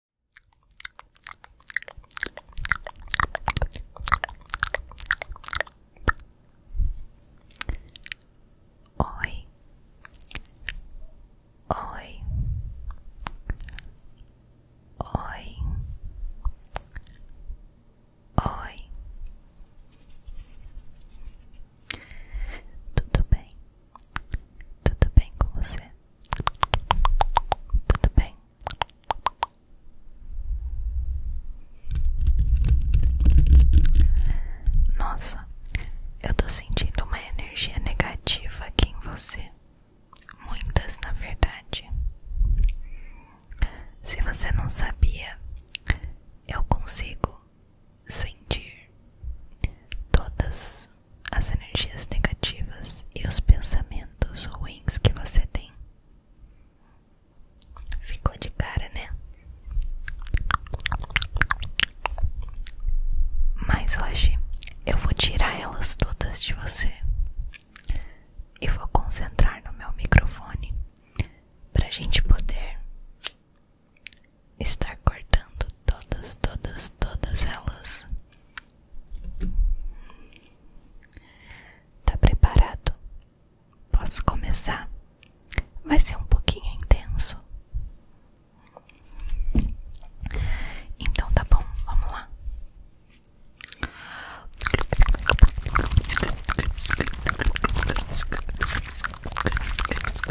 Oi, oi, oi, oi, tudo bem. Tudo bem com você? Tudo bem? Nossa, eu tô sentindo uma energia negativa aqui em você. Muitas, na verdade. Se você não sabia, eu consigo sentir todas as energias negativas e os pensamentos ruins que você tem. Ficou de cara, né? Mas hoje eu vou tirar elas todas de você e vou concentrar no meu microfone para gente poder estar cortando todas, todas, todas elas. Tá preparado? Posso começar? Vai ser um pouquinho intenso. Então tá bom, vamos lá.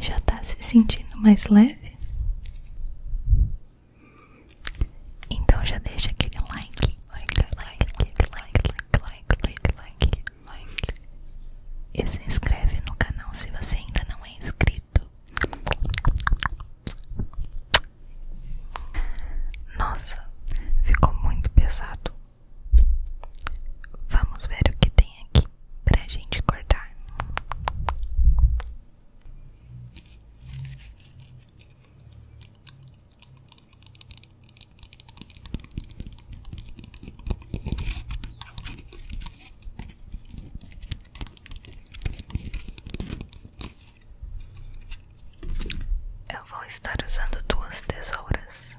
Já está se sentindo mais leve? Então já deixa aquele like, like, like, like, like, like, like, like, like. E se inscreve no canal se você ainda não é inscrito. Nossa, ficou muito pesado. Vamos ver o que tem aqui pra gente cortar. Eu vou estar usando duas tesouras.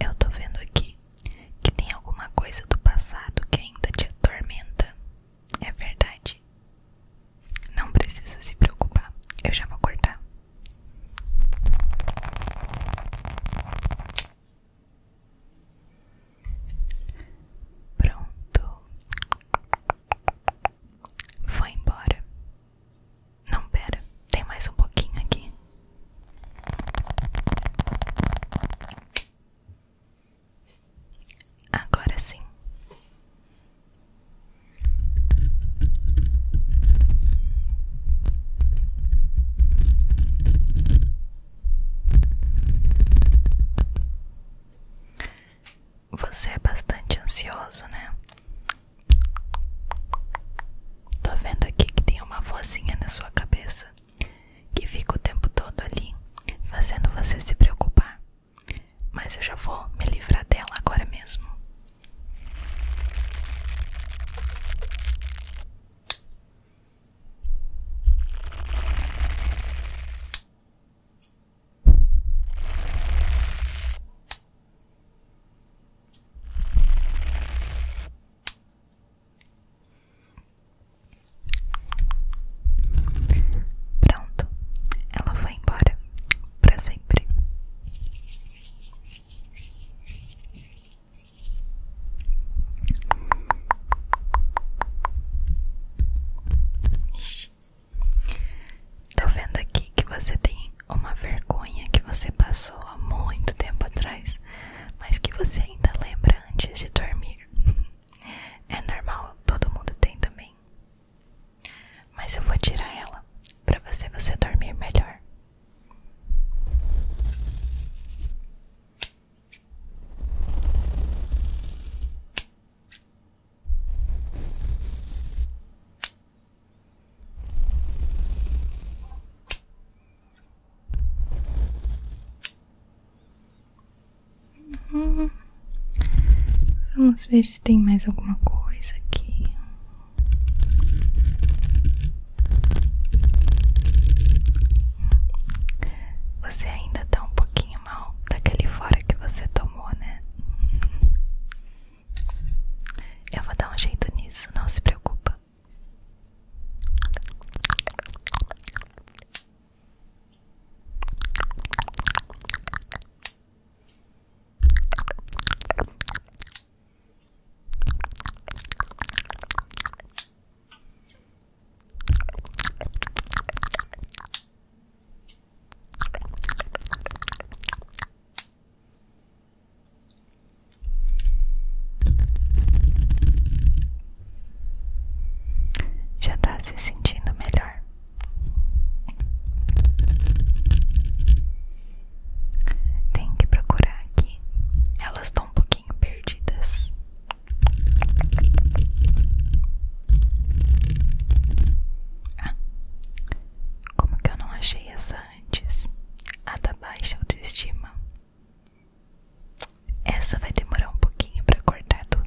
Eu tô vendo aqui que tem alguma coisa do passado que ainda te atormenta. É verdade. Não precisa se preocupar, eu já vou cortar. Pronto. Foi embora. Não, pera, tem mais um pouquinho aqui. Agora sim. Você é bastante ansioso, né? Tô vendo aqui que tem uma vozinha na sua cabeça que fica o tempo todo ali, fazendo você se preocupar. Mas eu já vou me livrar dela agora mesmo. Pronto, ela foi embora para sempre. Tô vendo aqui que você tem uma vergonha que você passou há muito tempo atrás, mas que você ainda lembra antes de dormir. É normal, todo mundo tem também. Mas eu vou tirar ela para você você dormir melhor. Vamos ver se tem mais alguma coisa aqui. Você ainda tá um pouquinho mal daquele fora que você tomou, né? Eu vou dar um jeito nisso, não se preocupa. Já está se sentindo melhor. Tem que procurar aqui. Elas estão um pouquinho perdidas como que eu não achei essa antes? A da baixa autoestima. Essa vai demorar um pouquinho para cortar tudo.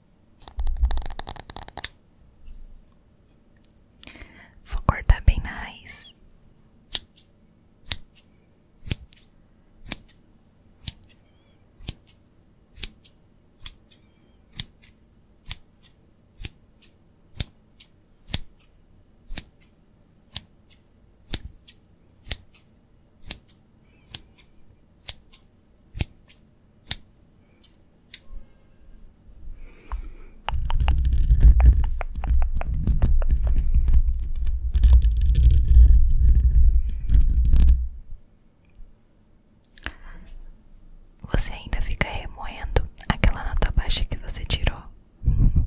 Vou cortar bem na raiz. Você ainda fica remoendo aquela nota baixa que você tirou.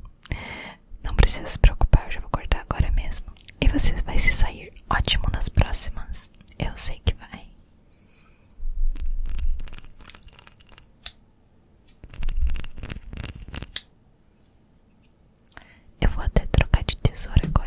Não precisa se preocupar, eu já vou cortar agora mesmo. E você vai se sair ótimo nas próximas eu sei que vai. Eu vou até trocar de tesoura agora.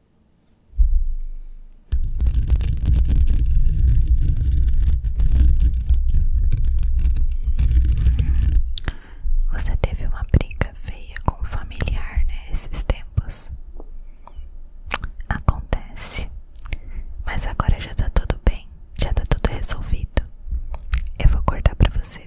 Você teve uma briga feia com um familiar, né? Esses tempos acontece, mas agora já tá tudo bem, já tá tudo resolvido. Eu vou cortar pra você.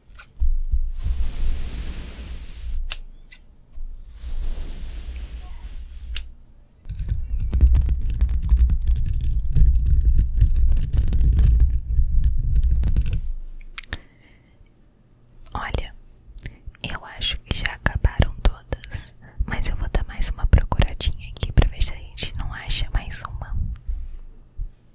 Olha, eu acho que já acabaram todas, mas eu vou dar mais uma procuradinha aqui para ver se a gente não acha mais uma.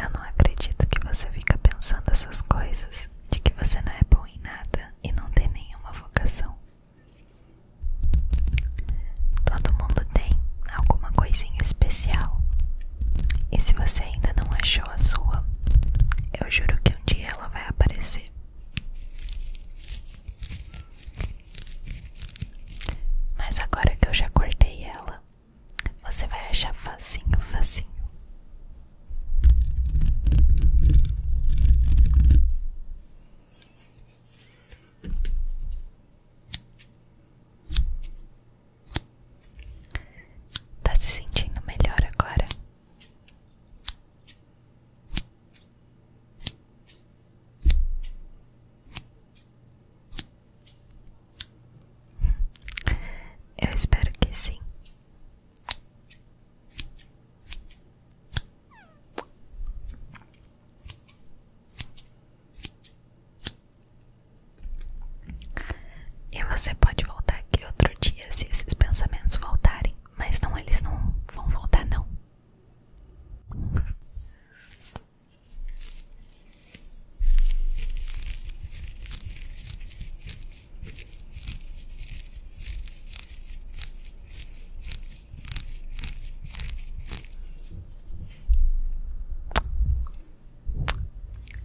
Eu não acredito que você fica pensando essas coisas de que você não é bom em nada e não tem nenhuma vocação. Todo mundo tem alguma coisinha especial. E se você ainda não achou a sua, eu juro que um dia ela vai aparecer. Mas agora que eu já cortei ela, você vai achar facinho, facinho. Tá se sentindo melhor agora? Eu espero que sim. E você pode voltar aqui outro dia se esses pensamentos voltarem, mas não, eles não vão voltar não.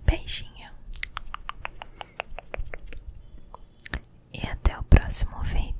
Beijinho e até o próximo vídeo.